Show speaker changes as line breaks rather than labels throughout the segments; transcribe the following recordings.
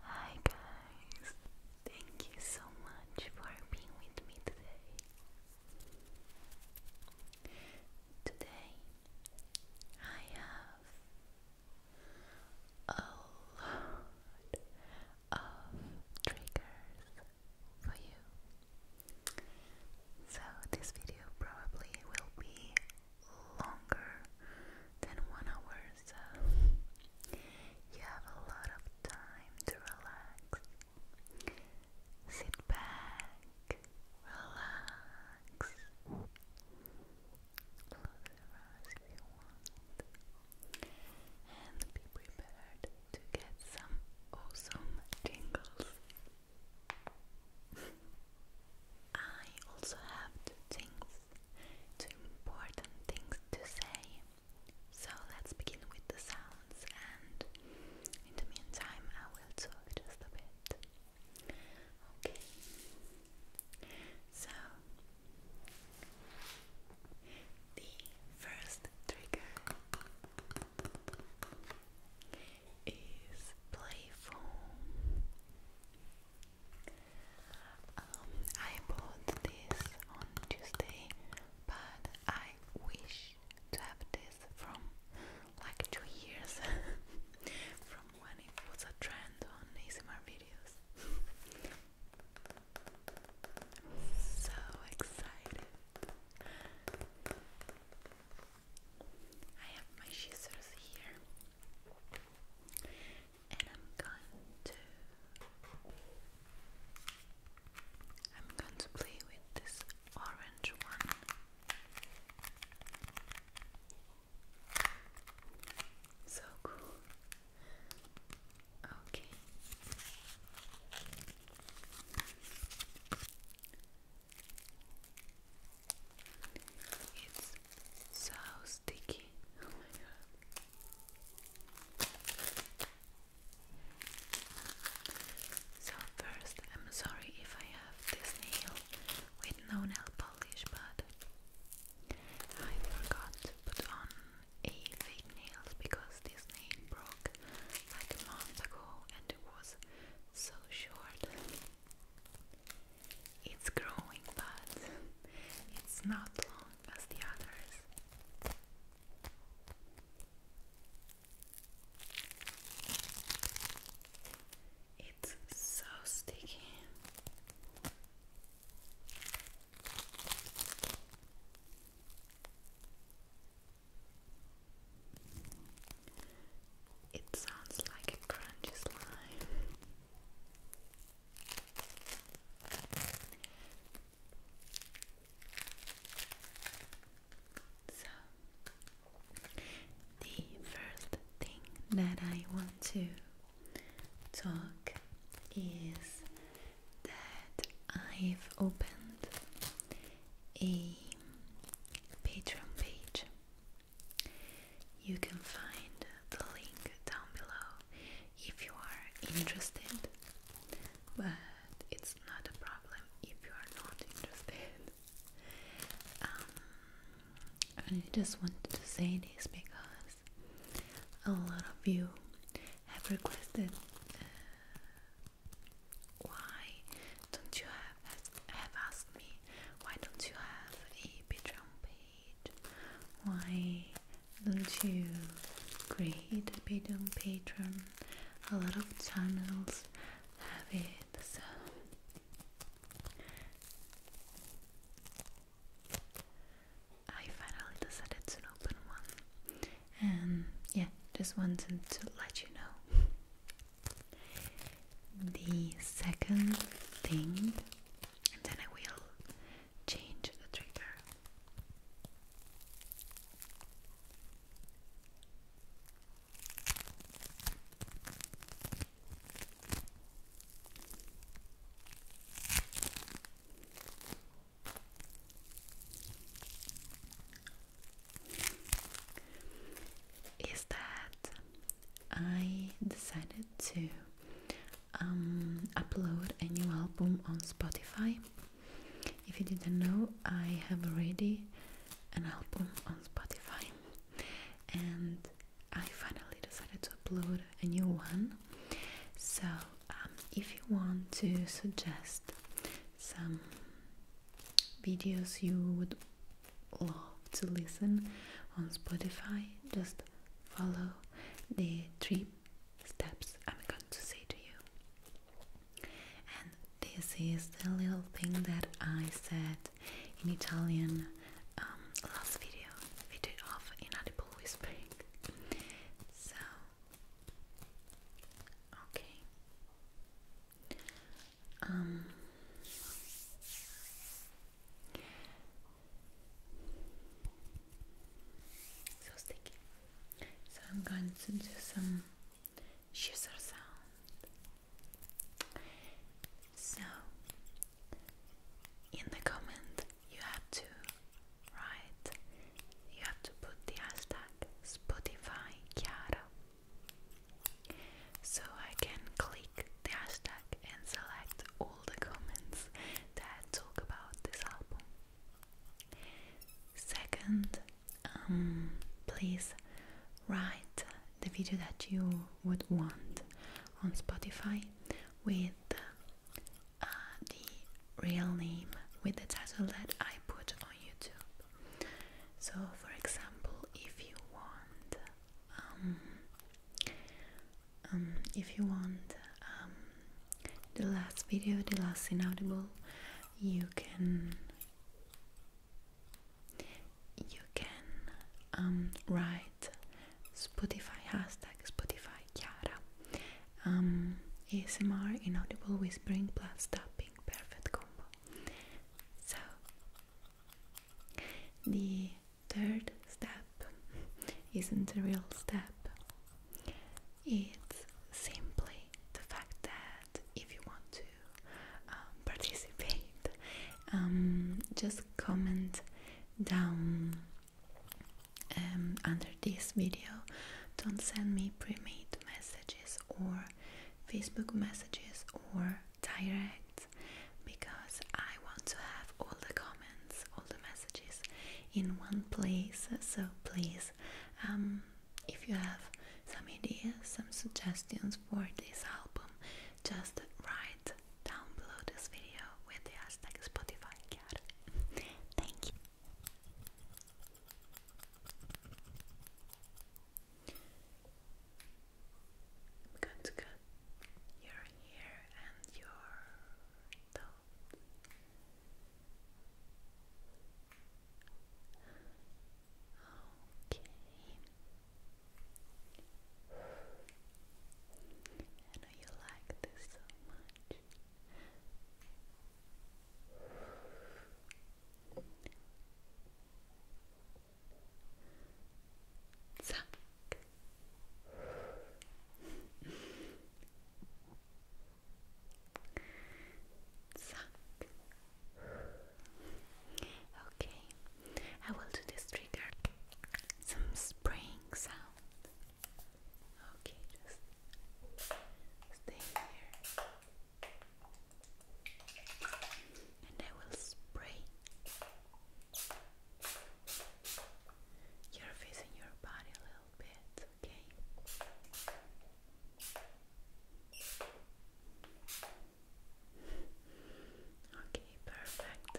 Hi guys, thank you so much for being with me today. Today I have a lot of triggers for you. So, this video probably will be longer than one hour, so you have a lot of time to relax. Sit back, relax, Close your eyes if you want. And be prepared to get some awesome tingles. I also have two things, two important things to say. So let's begin with the sounds, and in the meantime, I will talk just a bit. Okay. So, the first trigger is playful. Um, I bought this on Tuesday, but I wish to have this from like two years. from when it was a trend on ASMR videos. so excited. I have my scissors here and I'm going to I'm going to play with this orange one. So cool. Okay. It's so sticky. Oh so first, I'm sorry if I have this nail with no nail polish, but I forgot to put on a fake nails because this nail broke like a ago and it was so short. It's growing, but it's not long as the others. It's so sticky. It sounds like a crunchy slime. So, the first thing that I want to talk is that I've opened a Patreon page. You can find the link down below if you are interested, but it's not a problem if you are not interested. Um, I just wanted to say this because a lot of you have requested uh, why don't you have have asked me why don't you have a Patreon page? Why don't you create a Patreon A lot of channels have it so I finally decided to open one, and yeah, just wanted to let you know. The second thing, and then I will change the trigger is that I decided to um, upload a new album on Spotify. If you didn't know, I have already an album on Spotify, and I finally decided to upload a new one. So, um, if you want to suggest some videos you would love to listen on Spotify, just follow the three steps I'm going to say to you. And this is the little thing that I said in Italian um, last video we of inaudible whispering. So, okay. Um, so sticky. So I'm going to do some scissor sound. So in the comment you have to write, you have to put the hashtag Spotify Chiara. So I can click the hashtag and select all the comments that talk about this album. Second, um, please write the video that you would want on Spotify with uh, the real name with the title that I put on YouTube. So, for example, if you want, um, um, if you want um, the last video, the last inaudible, you can you can write Spotify hashtag Spotify Chiara um, ASMR inaudible whispering plus tapping perfect combo so the third step isn't a real step it's simply the fact that if you want to um, participate um, just comment down um, under this video. Don't send me pre-made messages or Facebook messages or direct because I want to have all the comments, all the messages in one place. So please, um, if you have some ideas, some suggestions for this album, just write down this video with the hashtag Spotify Thank you. Good, good. You're here and you're Okay. I know you like this so much. Zack. Zack. Okay, I will do this trigger. Some spring sound. Okay, just stay here. And I will spray your face and your body a little bit, okay? Okay, perfect.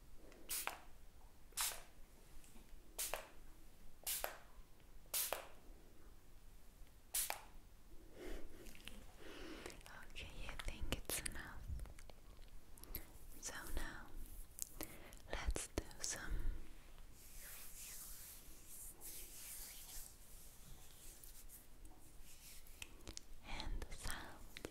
Okay, you think it's enough. So now let's do some and sound.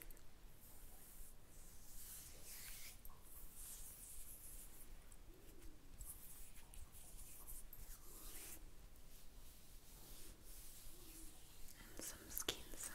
And some skin sounds.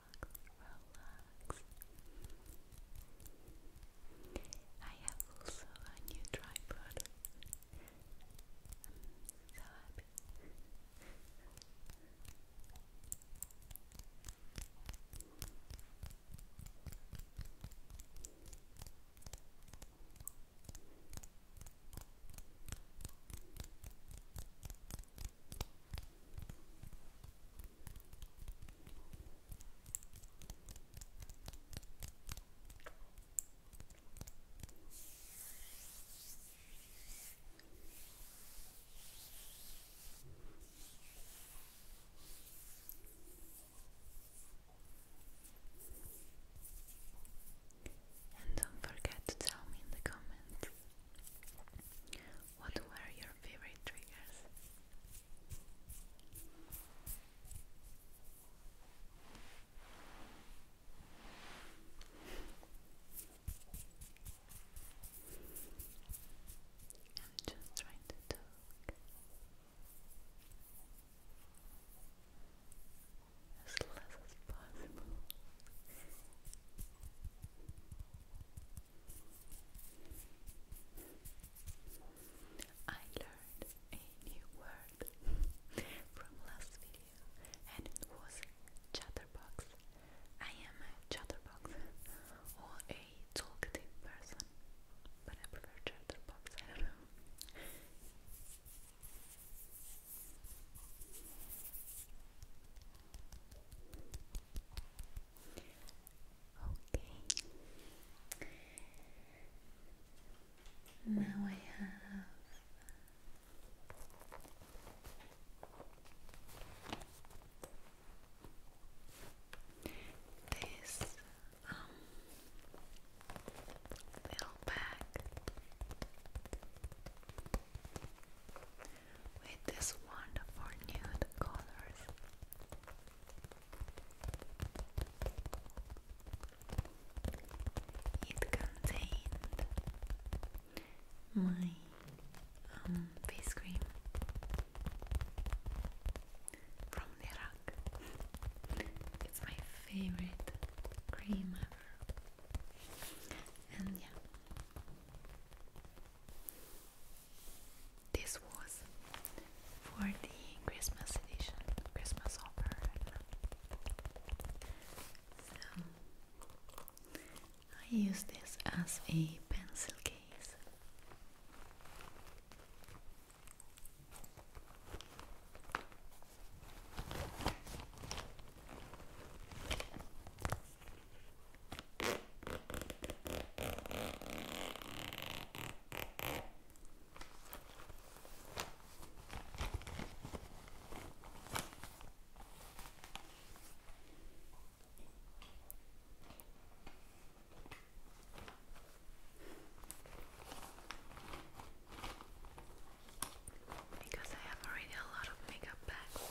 relax. I have also a new tripod. I'm so happy. And don't forget to tell me in the comments what were your favorite triggers. I'm just trying to talk. As less as possible. I learned a new word from last video and it was chatterbox. I am a chatterbox or a talkative person, but I prefer chatterbox, I don't know. Okay. Now I have this um, little bag with these wonderful nude colors. It contained my um, face cream from the It's my favorite cream ever. And yeah, this was for the Christmas edition, Christmas offer. So I use this as a pencil case. Because I have already a lot of makeup bags.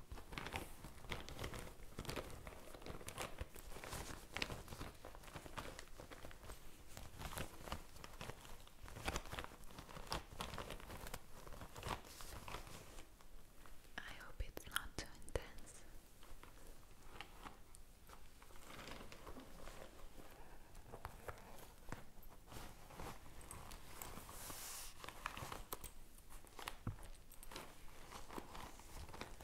I hope it's not too intense.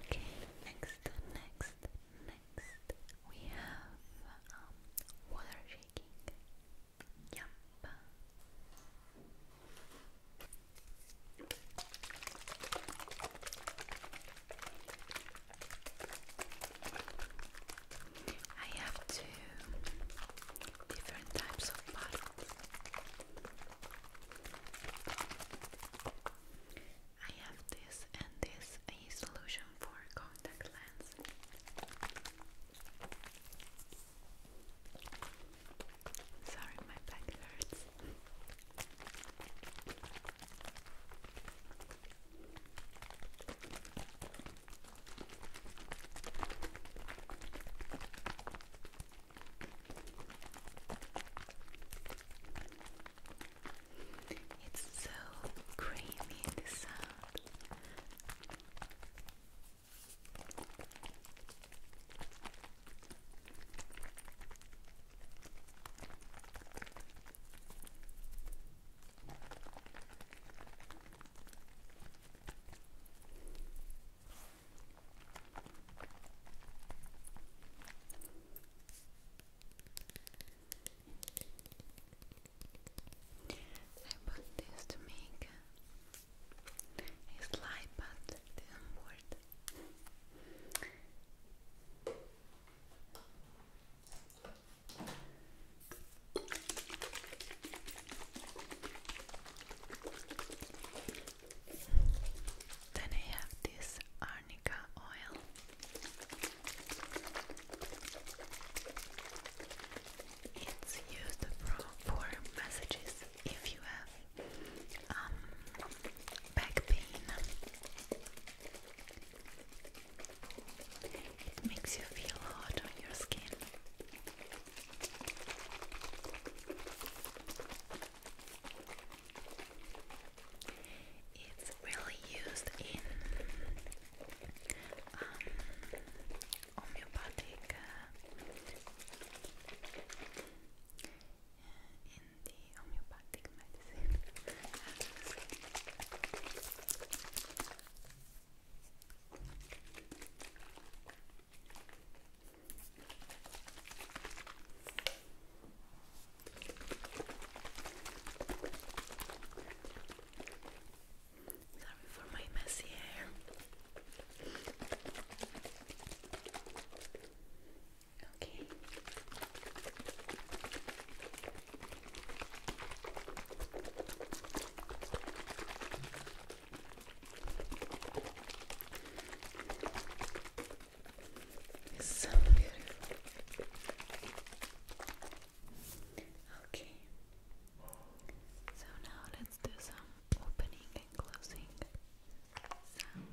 Okay, next, next, next, we have um, water shaking. Yep. I have to different types of bottles. I have this and this a solution for contact lens. Sorry, my back hurts. It's so creamy, the sound. I bought this to make a slide, but it not work. Then I have this arnica oil. It's used for, massages if you have um, back pain. It makes you feel hot on your skin. It's really used in um, uh, in the homeopathic medicine. Sorry for my messy hair. Okay. It's so beautiful. Okay. So now let's do some opening and closing sounds.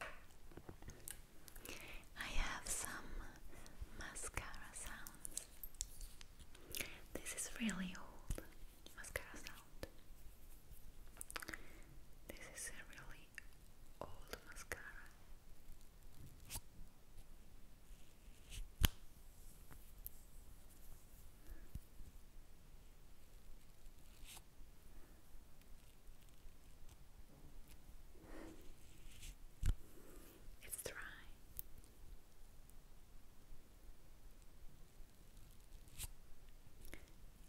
I have some mascara sounds. This is really old mascara sound. This is a really old mascara. It's dry.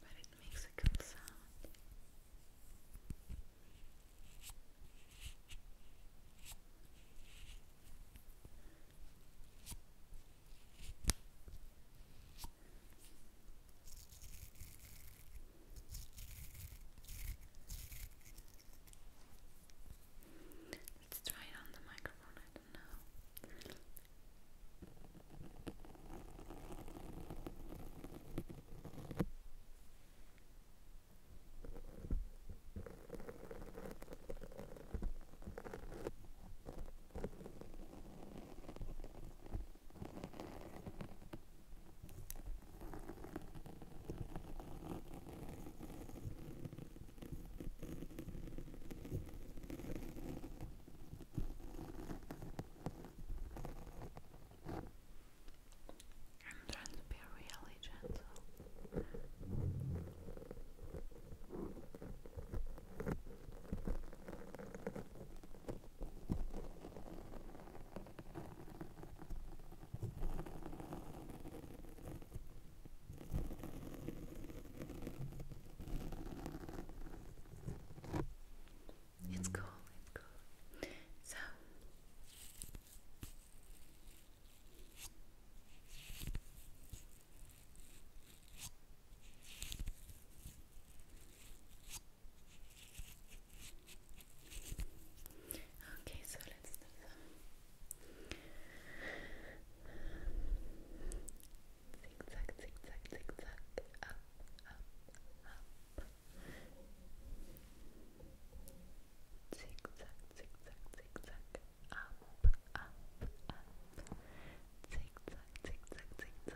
But it makes a good sound. Let's try on the microphone, I don't know. I'm trying to be really gentle. It's cool, it's cool. So Okay, so let's do some zigzag, zigzag, zigzag, up, up, up, zigzag, zigzag, zigzag, up, up, up, zigzag, zigzag, zigzag,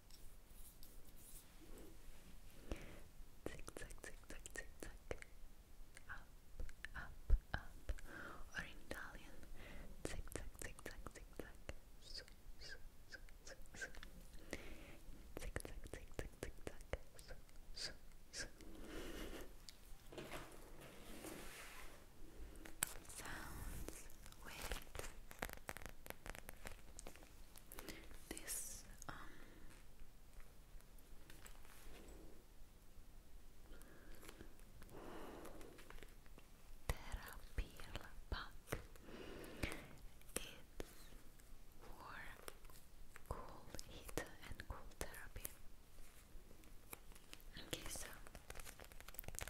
zigzag, zigzag, zigzag, up, up, up, or in Italian, zigzag, zigzag, zigzag, su, su, su, su, su, zigzag, zigzag, zigzag, su, su, su. Sounds with this um therapy pack. It's for cool heat and cool therapy. Okay, so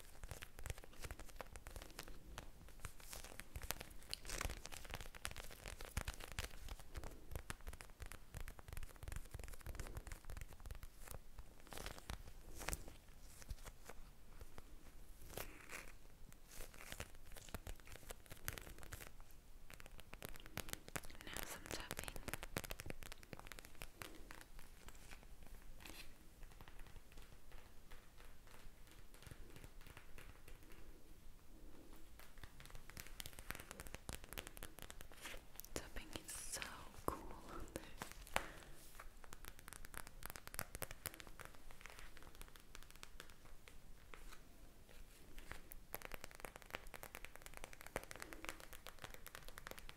Now some tapping. Tapping is so cool on this. I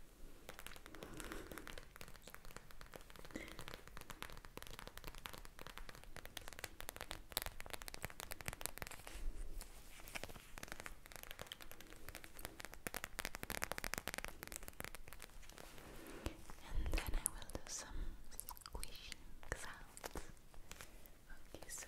and then I will do some squishing sounds. Okay, so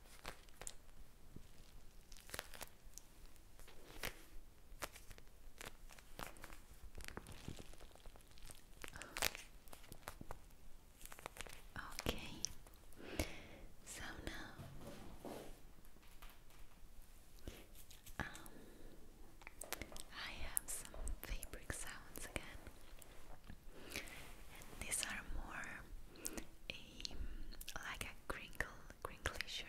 Okay, so now um, I have some fabric sounds again and these are more like a crinkle, crinkly shirt.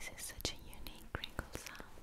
This is such a unique crinkle sound.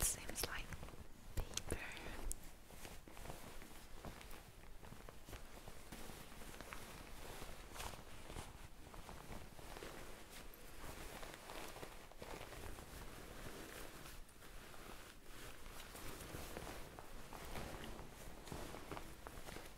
It seems like paper.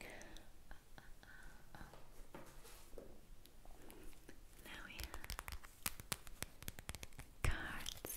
Uh, uh, Now we have cards.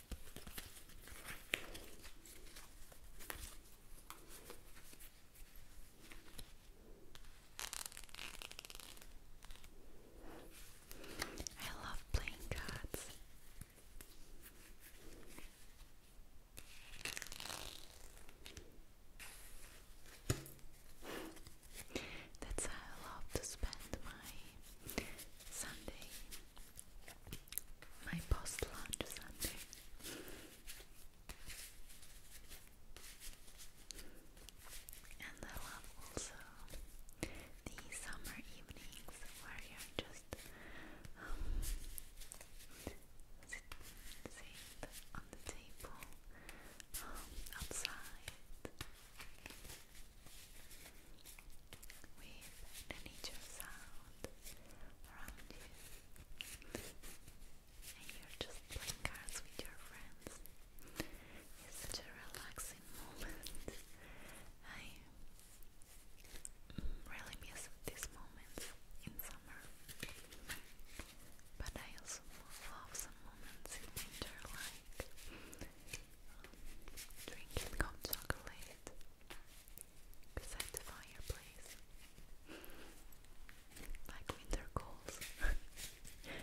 I love playing That's how I love to spend my Sunday my post lunch sundae. And I love also the summer evenings where you're just um, sitting on the table um, outside with nature sound around you, and you're just playing cards with your friends. It's such a relaxing moment. I really miss these moments in summer, but I also love some moments in winter, like. Um, drinking hot chocolate beside the fireplace, like winter calls. okay.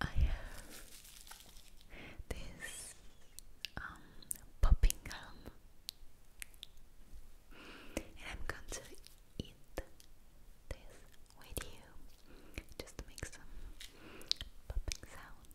I have this um, popping gum, and I'm going to eat this with you just make some Popping sounds.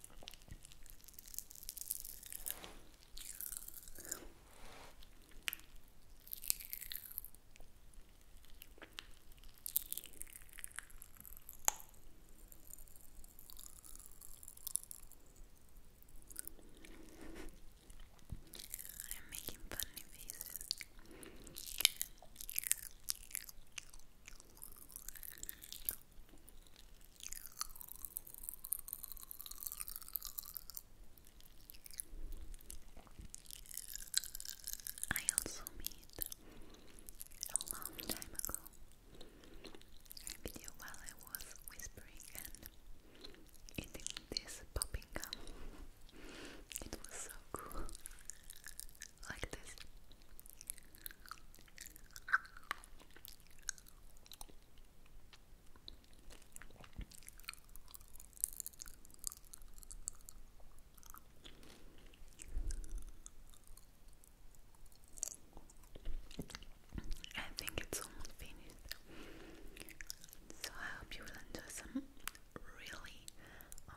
I'm making funny faces. I also made a long time ago a video while I was whispering and eating this popping gum. It was so cool. Like this. I think it's almost finished. So I hope you will enjoy some really um,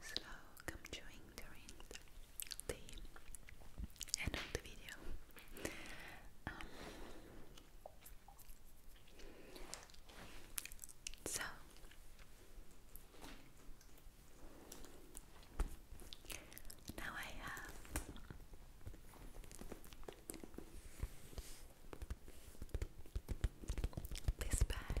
slow come join during the end of the video. Um, so, now I have this bag.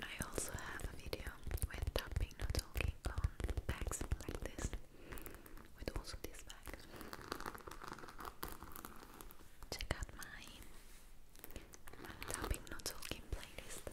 I also have a video with tapping, not talking on bags like this, with also this bag. Check out my tapping, not talking playlist.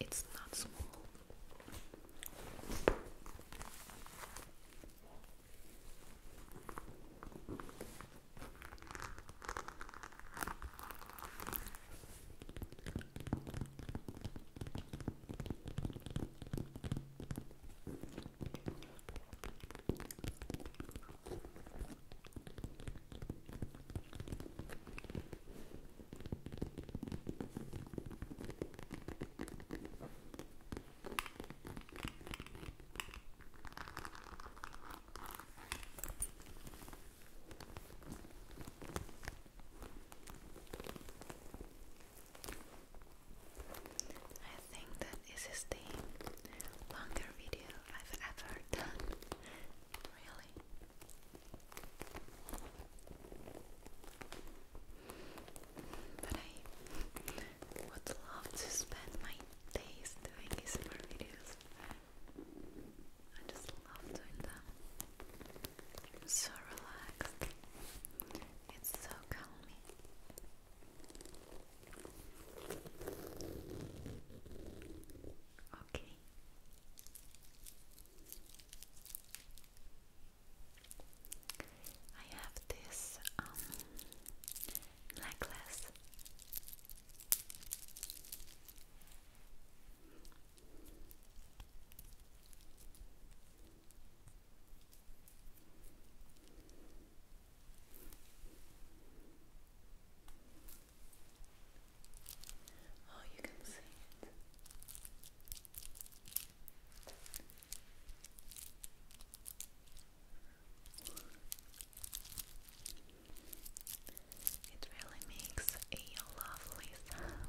It's not small. I think that is his name longer video I've ever done. Really. But I would love to spend my days doing ASMR videos. I just love doing them. am so relaxed. It's so calming. Okay. I have this um, necklace. Oh, you can see it. It really makes a lovely sound.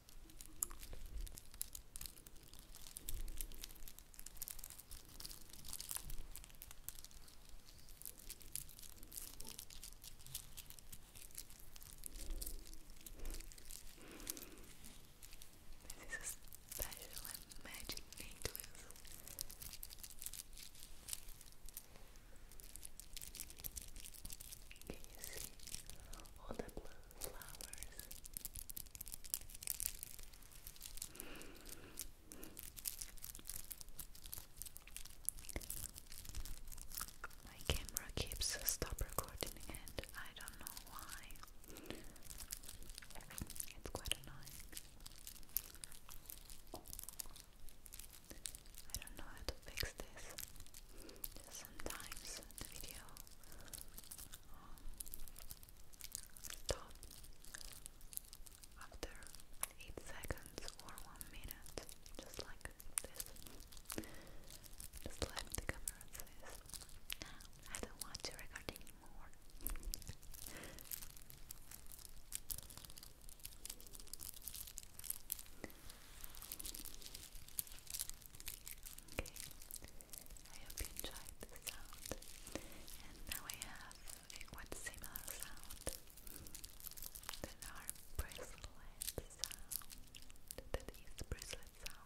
This is special and magic Can you see all the blood? flowers. My camera keeps stop recording and I don't know why. It's quite annoying. I don't know how to fix this. Sometimes the video stop after 8 seconds or 1 minute, just like this. Just let the camera says, no, I don't want to record anymore. Okay, I hope you enjoyed the sound. And now I have a quite similar sound that are bracelet sound. That is bracelet sound.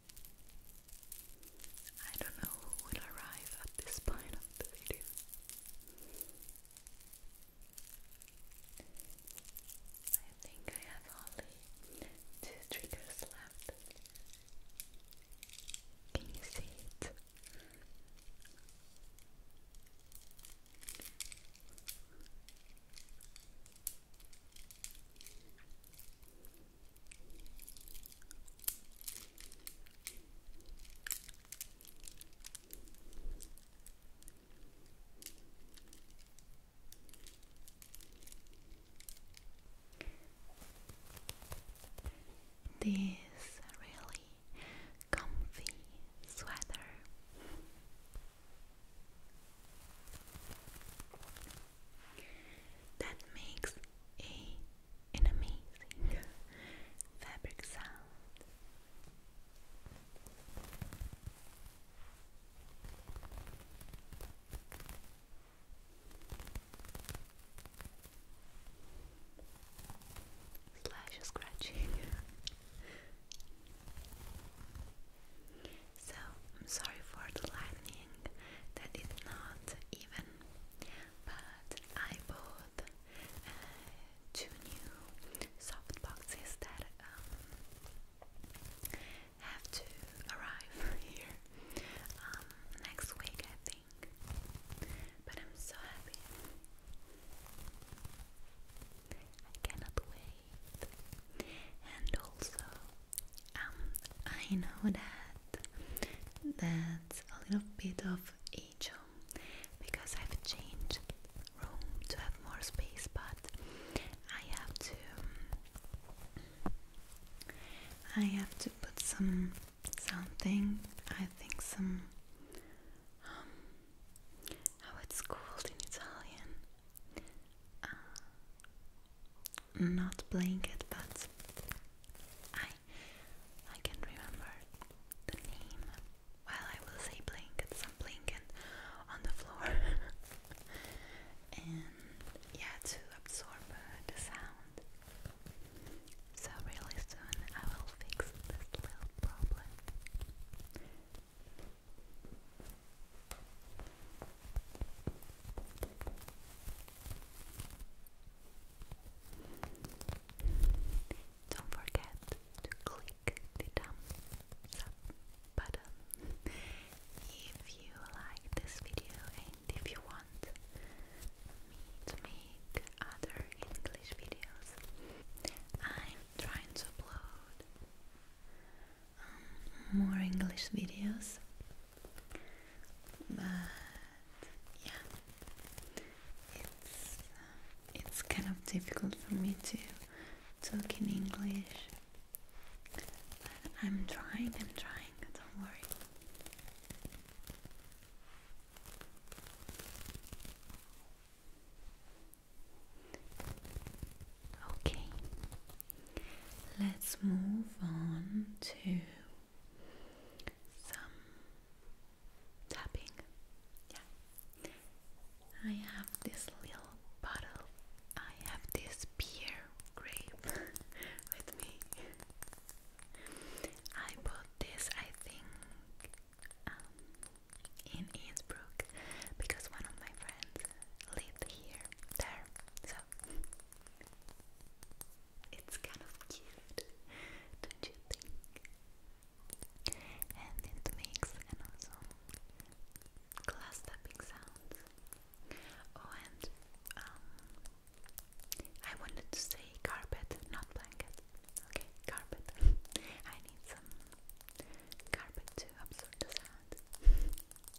I don't know who would arrive at this point of the video. I think I have only two triggers left. Can you see it? This really comfy sweater that makes a amazing fabric sound. Slash scratching. So I'm sorry for the lightning that is not even, but I bought uh, two new soft boxes that um, have to arrive here um, next week, I think. But I'm so happy. I cannot wait and also um, I know that that's a little bit of ego because I've changed room to have more space but I have to I have to put some something I think some um, how it's called in Italian uh, not blanket, but I I can remember the name. Well, I will say blanket, some blanket on the floor, and yeah, to absorb uh, the sound. So really soon I will fix this little problem. Don't forget to click the thumbs up button if you like this video and if you want me to make other English videos. I'm trying to upload um, more English videos. But yeah, it's uh, it's kind of difficult for me to talk in English. But I'm trying. I'm trying. Don't worry. Okay, let's move on to some tapping. Yeah, I have this little bottle, I have this beer grape with me. I bought this, I think, um, in Innsbruck because one of my friends lived here, there, so it's kind of cute, don't you think? And it makes an awesome glass sound. Oh, and um, I wanted to say carpet, not blanket. Okay, carpet. I need some carpet to absorb the sound.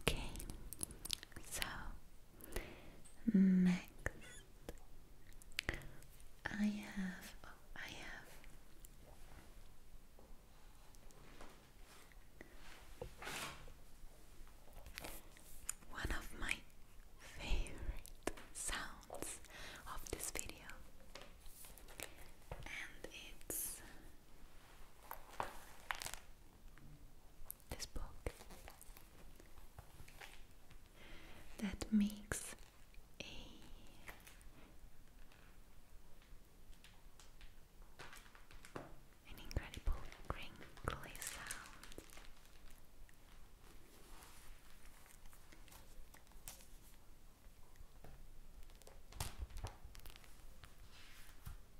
Okay, so next I have, oh, I have. One of my favorite sounds of this video, and it's this book that makes a an incredible crinkly sound.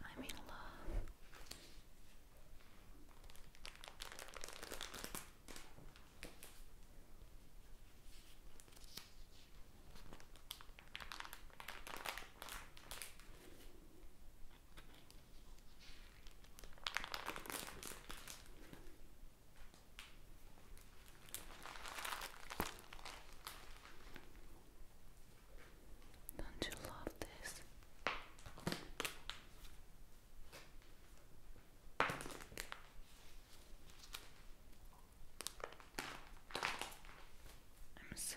I'm in love. Don't you love this? I'm so,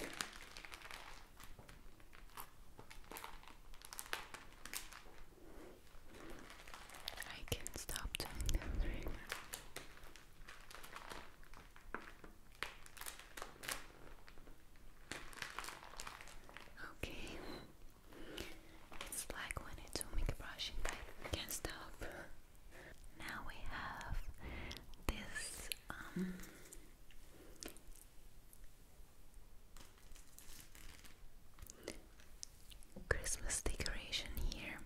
I can't stop doing that Okay, it's like when I do make brushing, I can't stop. Now we have this um, Christmas decoration here.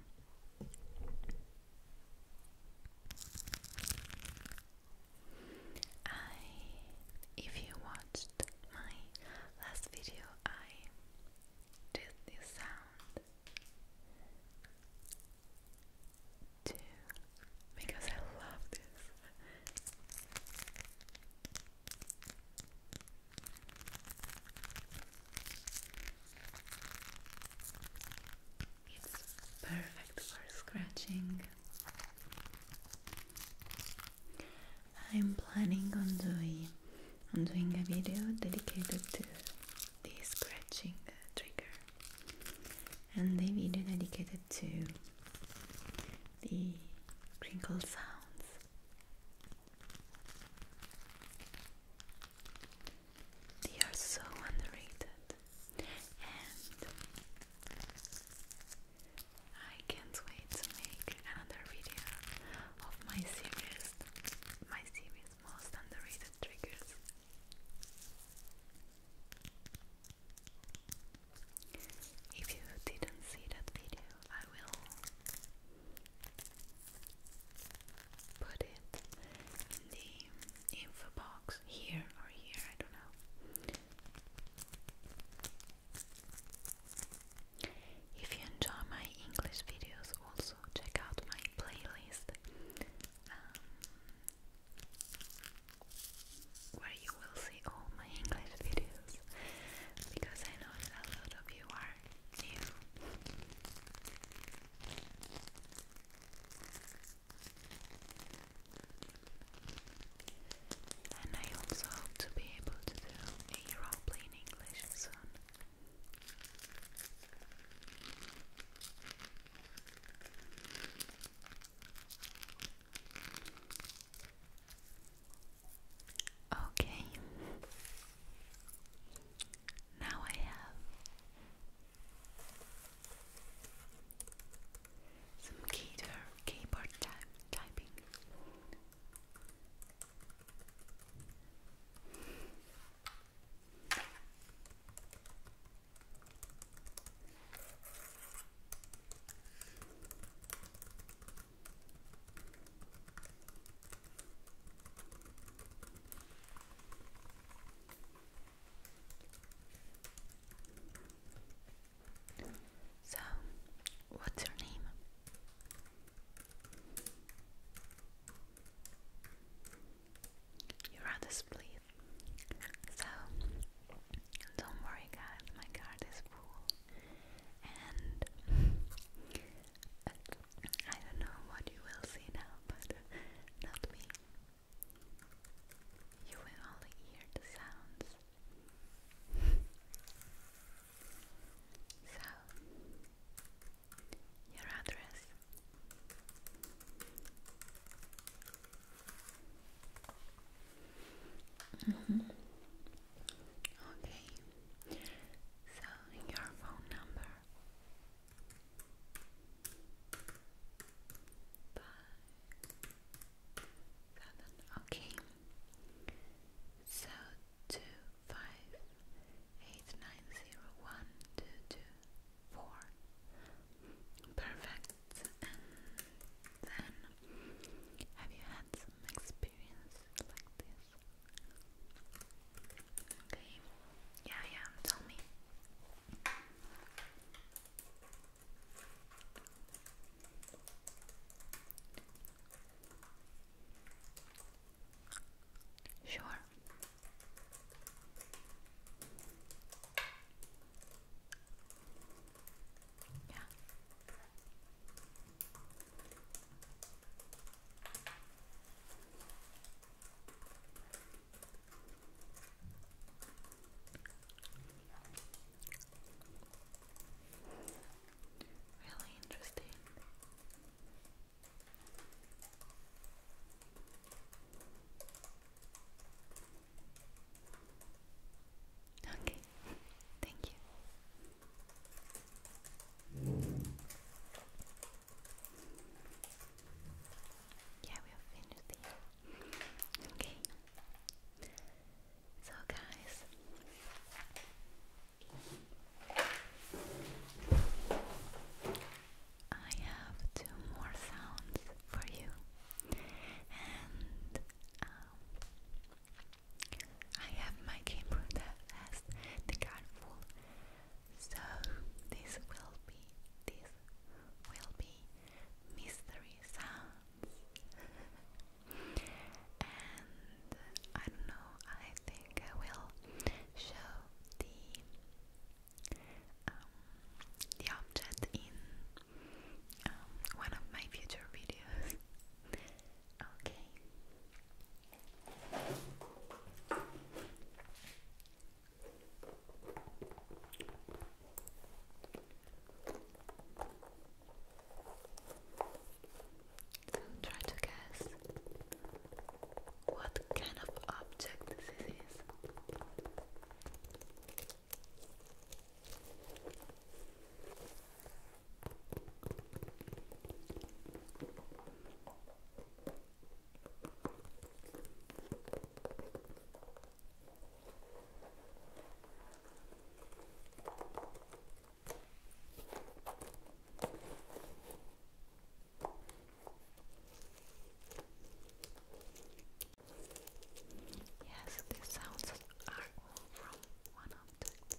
I, if you watched my last video, I did this sound two because I love this. It's perfect for scratching. I'm planning on doing on doing a video dedicated to the scratching trigger and a video dedicated to the crinkle sounds. They are so underrated and I can't wait to make another video of my series my series most underrated triggers. If you didn't see that video, I will put it in the info box here or here, I don't know. If you enjoy my English videos, also check out my playlist um, where you will see all my English videos because I know that a lot of you are new. And I also hope to be able to do a roleplay in English soon. Okay, now I have some keyboard, typing. So, what's your name? you rather split. So don't worry, guys, my card is full, and I don't know what you will see now, but not me. You will only hear the sounds. So, your address Mm -hmm. Okay, so your phone number. Five, seven, okay. So two five eight nine zero one two two four. Perfect. And then, have you had some experience like this? Okay. Yeah, yeah. Tell me. Sure. Yeah. Really interesting. Okay, thank you. Yeah, we are finished Okay. So, guys, I have two more sounds for you, and um, I have my camera that the card full, so this will be this will be mystery sounds, and I know. I think I will show the um, the object in um, one of my future videos. okay. So try to guess what kind of object this is. Yes, these sounds are all from one object.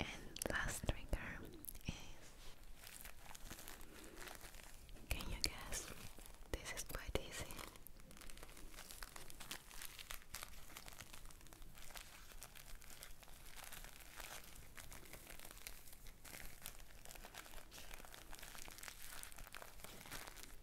And last trigger is can you guess? This is quite easy.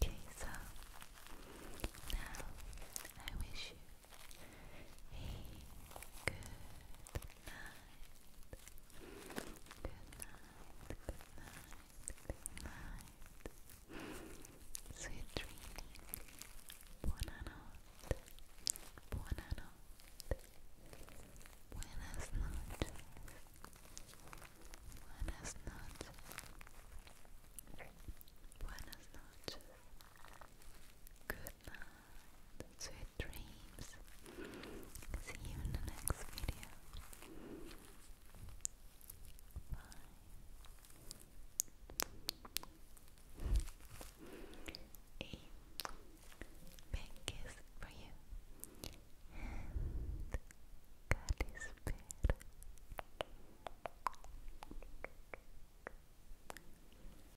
Okay, so now I wish you Sweet dreams. Buonanotte. Buonanotte. Buenas noches. Buenas noches. Buenas noches. Good good night, sweet dreams. See you in the next video. Bye. A big kiss for you. God is better.